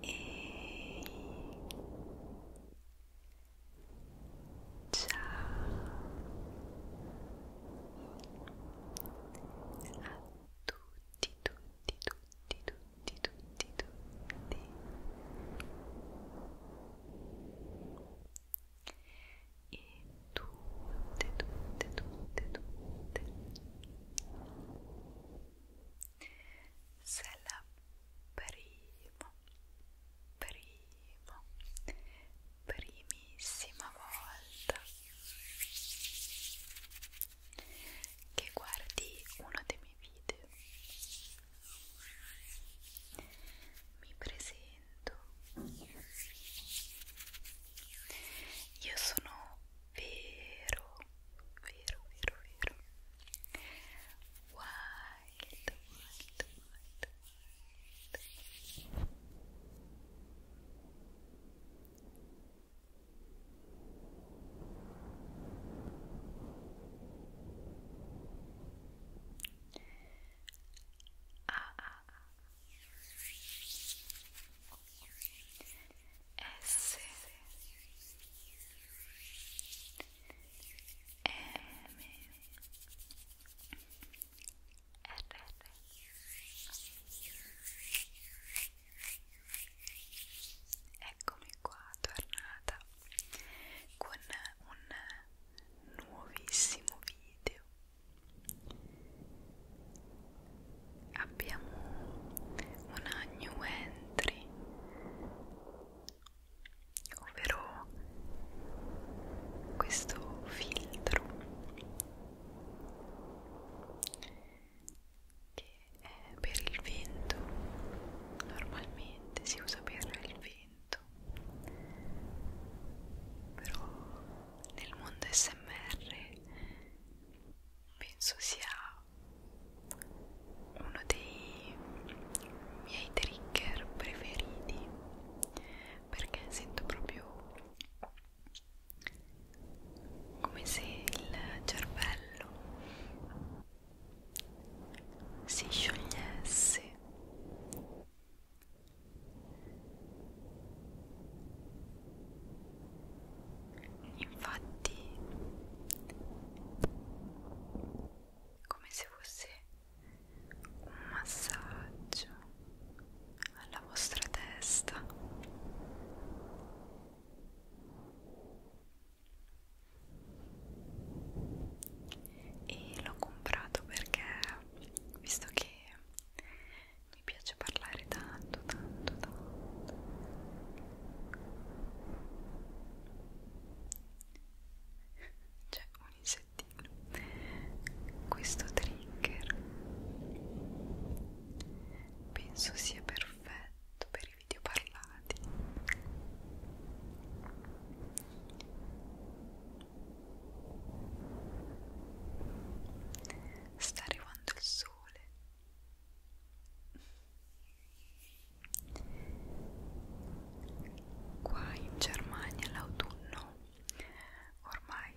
E... Ciao a tutti, tutti, tutti, tutti, tutti, tutti e tutte, tutte, tutte, tutte primo, primo, primissima volta che guardi uno dei miei video mi presento io sono vero, vero, vero, vero. Wild, wild, wild, wild. Ah, ah, ah. S M Eccomi qua, tornata con un nuovissimo video abbiamo una new entry ovvero questo filtro che è per il vento normalmente si usa per il vento però nel mondo smr penso sia uno dei miei trigger preferiti perché sento proprio come se il cervello si sciogliesse Infatti, come se fosse un massaggio alla vostra testa. E l'ho comprato perché, visto che mi piace parlare tanto tanto tanto c'è cioè, un insettino questo trigger penso sia perfetto per i video parlati sta arrivando il sole qua in Germania l'autunno ormai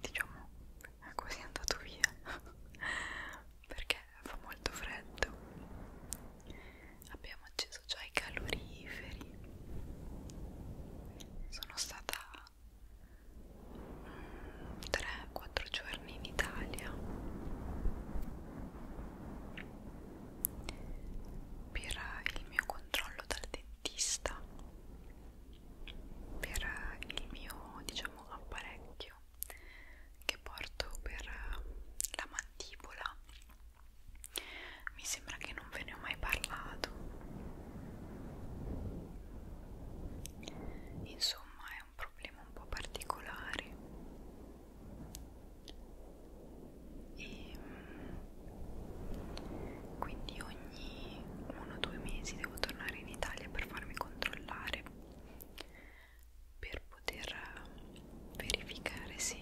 diciamo è quasi andato via perché fa molto freddo abbiamo acceso già i caloriferi sono stata 3-4 giorni in Italia per il mio controllo dal dentista per il mio diciamo apparecchio che porto per eh, la mandibola mi sembra che non ve ne ho mai parlato Insomma, è un problema un po' particolare e ehm, quindi ogni uno o due mesi devo tornare in Italia per farmi controllare per poter verificare se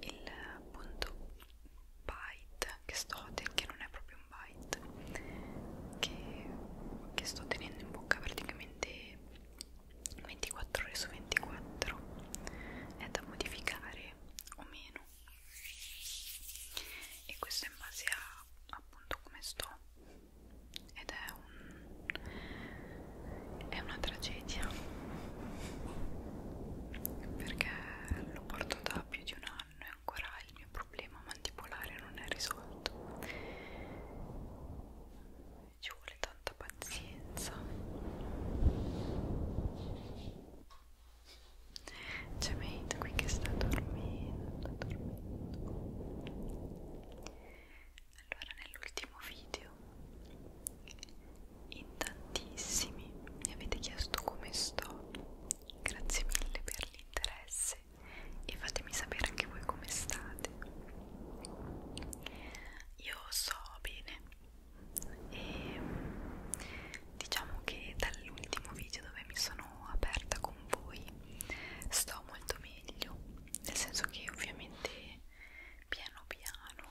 il punto bite che sto tenendo, che non è proprio un bite, che, che sto tenendo in bocca praticamente 24 ore su 24, è da modificare o meno. E questo è in base a appunto come sto ed è un è una tragedia perché lo porto da più di un anno anno e ancora il mio problema mandibolare non è risolto ci vuole tanta pazienza c'è Mate qui che sta dormendo, dormendo. allora nell'ultimo video in tantissimi mi avete chiesto come sto Grazie mille per l'interesse e fatemi sapere anche voi come state. Io so bene e diciamo che dall'ultimo video dove mi sono aperta con voi sto molto meglio, nel senso che ovviamente piano piano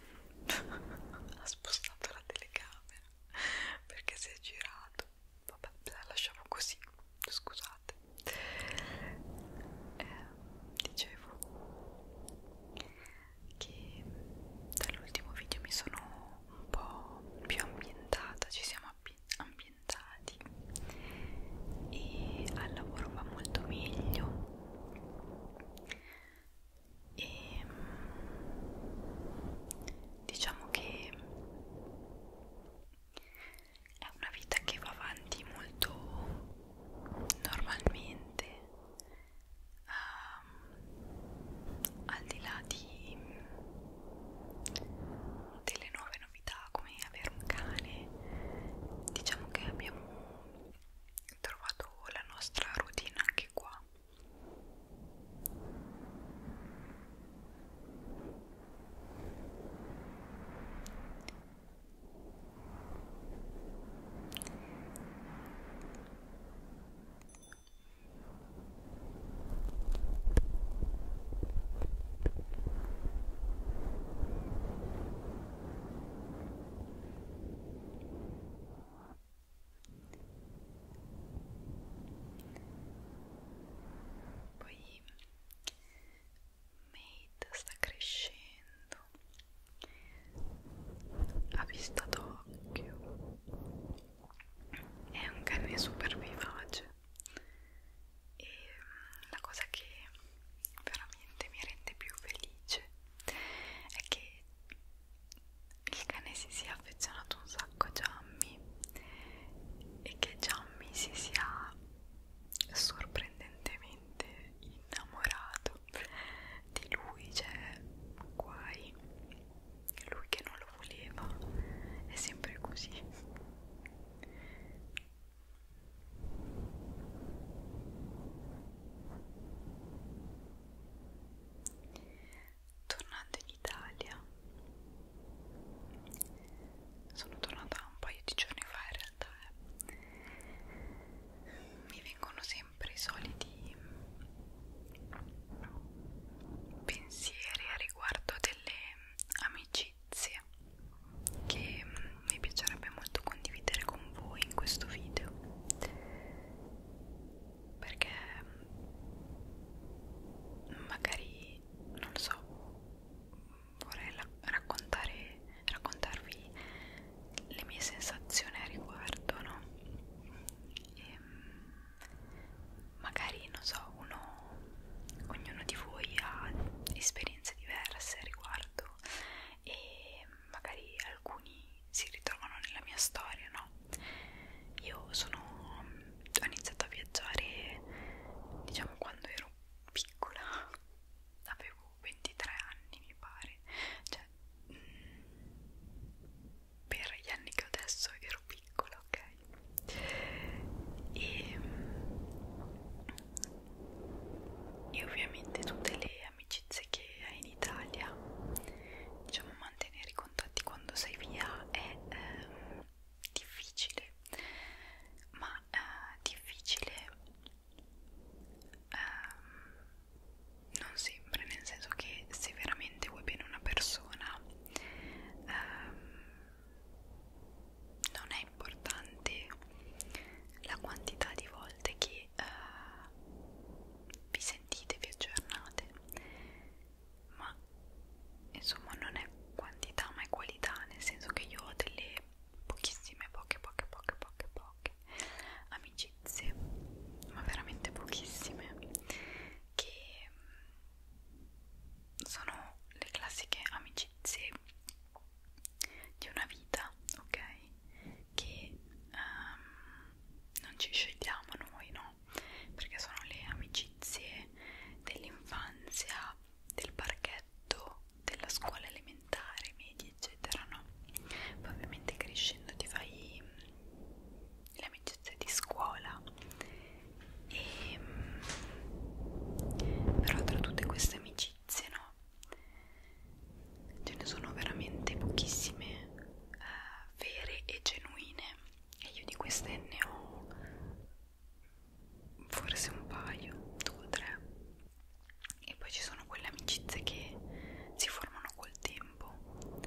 ha spostato la telecamera perché si è girato vabbè la lasciamo così scusate eh, dicevo che dall'ultimo video mi sono un po' più ambientata ci siamo ambientati e al lavoro va molto meglio e mm, diciamo che è una vita che va avanti molto normalmente um, al di là di delle nuove novità come avere un cane diciamo che abbiamo trovato la nostra routine anche qua Ecco poi Mate sta crescendo a vista d'occhio è un cane super vivace e la cosa che veramente mi rende più felice è che il cane si sia affezionato un sacco a Giammi e che Giammi si sia sorprendentemente innamorato di lui, cioè guai, lui che non lo voleva, è sempre così tornando in Italia sono tornata un paio di giorni fa in realtà eh. mi vengono sempre i soliti pensieri a riguardo delle amicizie che mm, mi piacerebbe molto condividere con voi in questo video perché mm, magari non so vorrei raccontare raccontarvi le mie sensazioni a riguardo no e mm, magari non so uno ognuno di voi ha esperienze diverse a riguardo e magari alcuni si ritrovano nella mia storia, no? Io sono, ho iniziato a viaggiare, diciamo, quando ero piccola, avevo 23 anni mi pare, cioè, mh, mm, per gli anni che ho adesso ero piccola, ok? E, mm, e ovviamente tutte le amicizie che hai in Italia diciamo mantenere i contatti quando sei via è ehm, difficile ma eh, difficile ehm, non sempre nel senso che se veramente vuoi bene una persona ehm, non è importante la quantità di volte che vi, eh, vi sentite, vi aggiornate ma insomma non è quantità ma è qualità nel senso che io ho delle pochissime poche poche poche poche poche amicizie ma veramente pochissime che mm, sono le classiche amicizie di una vita ok che um, non ci scegliamo noi, no? Perché sono le amicizie dell'infanzia, del parchetto, della scuola elementare, media, eccetera, no? Poi ovviamente crescendo ti fai mm, le amicizie di scuola e ehm, però tra tutte queste amicizie no ce ne sono veramente pochissime eh, vere e genuine e io di queste ne ho forse un paio, due o tre e poi ci sono quelle amicizie che si formano col tempo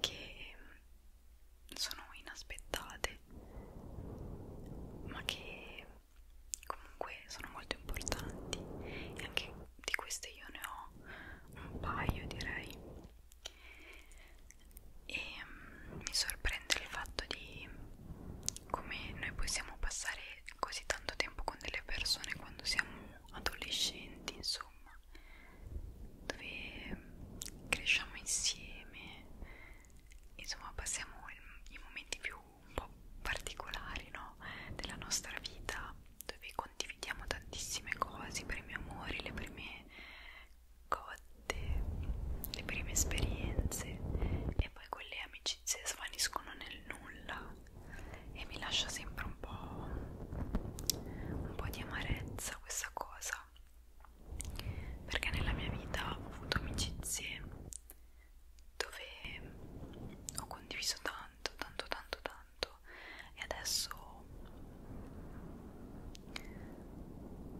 che mm, sono inaspettate ma che comunque sono molto importanti e anche di queste io ne ho un paio direi e um, mi sorprende il fatto di come noi possiamo passare così tanto tempo con delle persone quando siamo adolescenti insomma dove cresciamo insieme insomma passiamo i momenti più un po' particolari no? della nostra vita dove condividiamo tantissime cose, i primi amori, le prime cotte, le prime esperienze e poi quelle amicizie svaniscono nel nulla e mi lascia sempre un po' un po' di amarezza questa cosa perché nella mia vita ho avuto amicizie dove ho condiviso tanto tanto tanto tanto tanto e adesso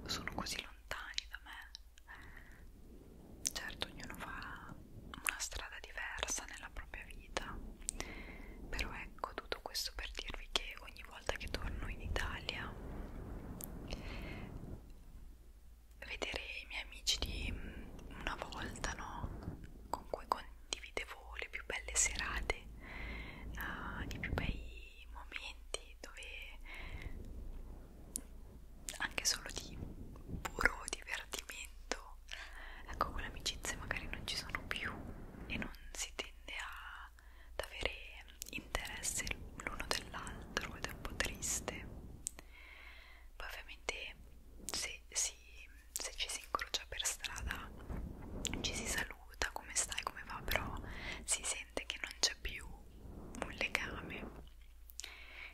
sono così lontani da me certo ognuno fa una strada diversa nella propria vita però ecco tutto questo per dirvi che ogni volta che torno in Italia vedere i miei amici di una volta no con cui continuo condividevo le più belle serate, uh, i più bei momenti dove anche solo di puro divertimento, ecco con le amicizie magari non ci sono più e non si tende a, ad avere interesse l'uno dell'altro ed è un po' triste. Poi ovviamente se si se ci si incrocia per strada ci si saluta come stai come va però si sente che non c'è più un legame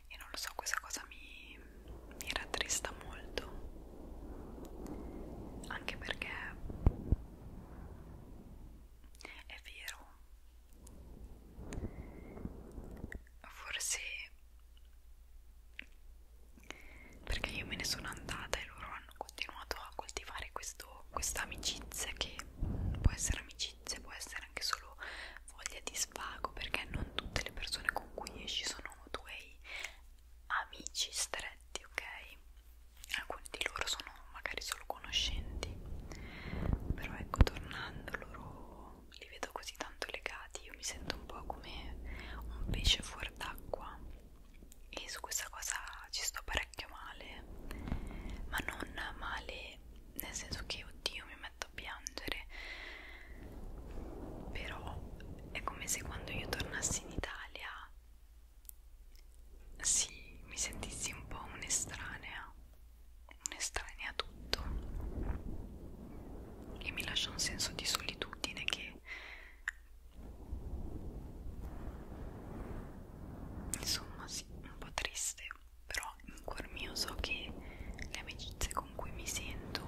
e non lo so questa cosa mi, mi rattrista molto anche perché è vero forse perché io me ne sono andata e loro hanno continuato a coltivare questa amicizia che può essere amicizia, può essere anche solo voglia di svago perché non tutte le persone con cui esci sono tuoi amici stretti, ok? Alcuni di loro sono magari solo conoscenti, però ecco tornando loro li vedo così tanto legati io mi sento un po' come un pesce fuor d'acqua e su questa cosa ci sto parecchio male ma non male nel senso che oddio mi metto a piangere però è come se quando io tornassi in Italia sì, mi sentissi un po' un'estranea, un'estranea a tutto e mi lascia un senso di solitudine che insomma sì, un po' triste però in cuor mio so che le amicizie con cui mi sento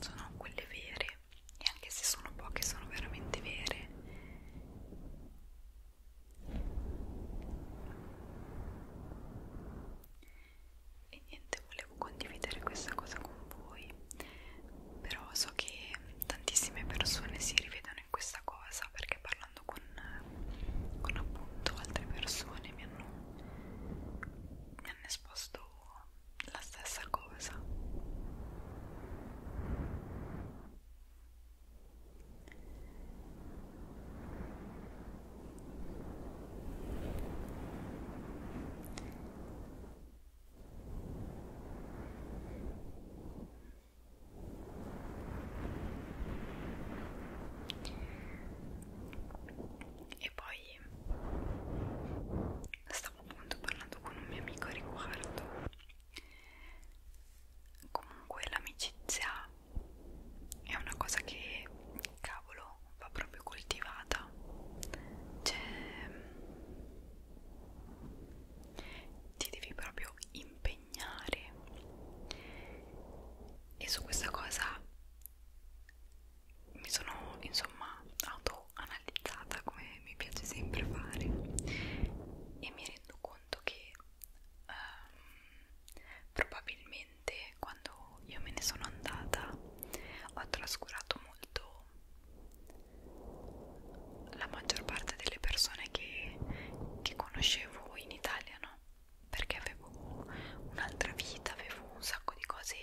sono quelle vere e anche se sono poche sono veramente vere e niente volevo condividere questa cosa con voi però so che tantissime persone si rivedono in questa cosa perché parlando con, con appunto altre persone mi hanno, mi hanno esposto la stessa cosa e poi stavo appunto parlando con un mio amico a riguardo. Comunque l'amicizia è una cosa che cavolo va proprio coltivata cioè ti devi proprio impegnare e su questa cosa mi sono insomma autoanalizzata come mi piace sempre fare e mi rendo conto che um, probabilmente quando io me ne sono andata ho trascurato molto tempo la maggior parte delle persone che, che conoscevo in Italia, no? Perché avevo un'altra vita, avevo un sacco di cose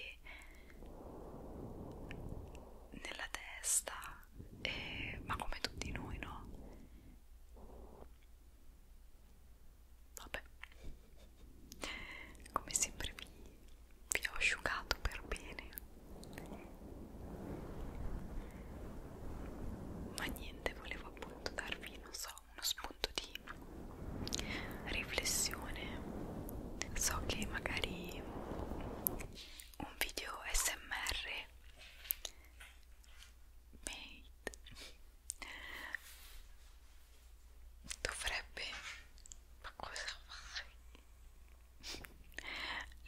nella testa, e, ma come tutti noi, no? Vabbè, come sempre vi vi ho asciugato per bene ma niente volevo appunto darvi non so uno spunto di riflessione so che magari un video smr made dovrebbe ma cosa fai?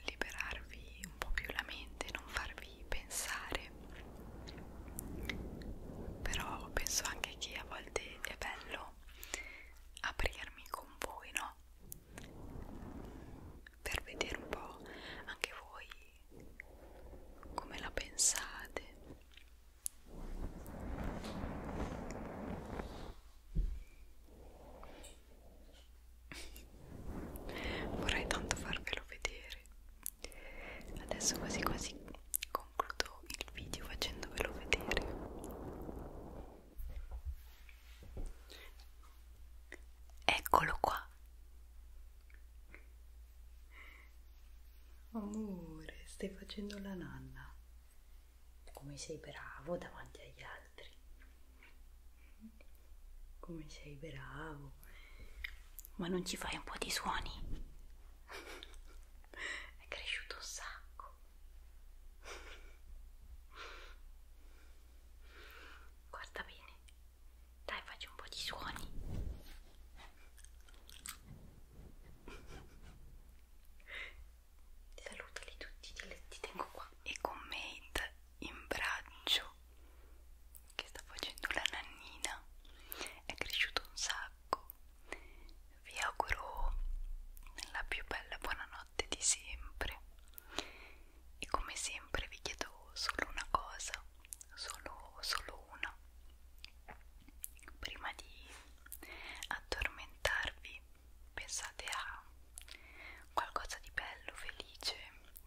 liberarvi un po' più la mente, non farvi pensare però penso anche che a volte è bello aprirmi con voi, no? per vedere un po' anche voi come la pensate vorrei tanto farvelo vedere adesso quasi quasi concludo il video facendovelo vedere eccolo qua amore stai facendo la nanna come sei bravo davanti agli altri, come sei bravo, ma non ci fai un po' di suoni? È cresciuto un sacco. Guarda bene, dai, faccio un po' di suoni salutali tutti, ti tengo qua e con Mate in braccio che sta facendo la nannina è cresciuto un sacco vi auguro la più bella buonanotte di sempre e come sempre vi chiedo solo una cosa solo, solo una prima di addormentarvi pensate a qualcosa di bello, felice,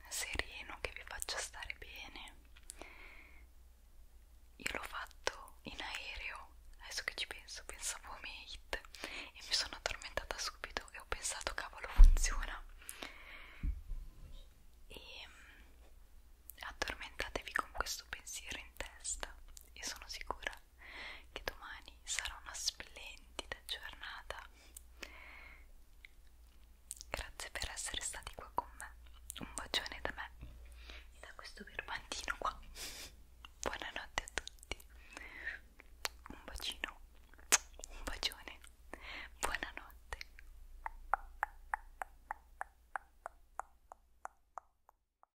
sereno che vi faccia stare bene. Io l'ho fatto in aereo, adesso che ci penso, pensavo a Mate e mi sono addormentata subito e ho pensato cavolo funziona. E mm, addormentatevi con questo pensiero in testa e sono sicura che domani sarà una splendida giornata. Grazie per essere stati qua con me. Un bacione da me e da questo birbantino qua. Buonanotte a tutti. Un bacino, un bacione. Buonanotte.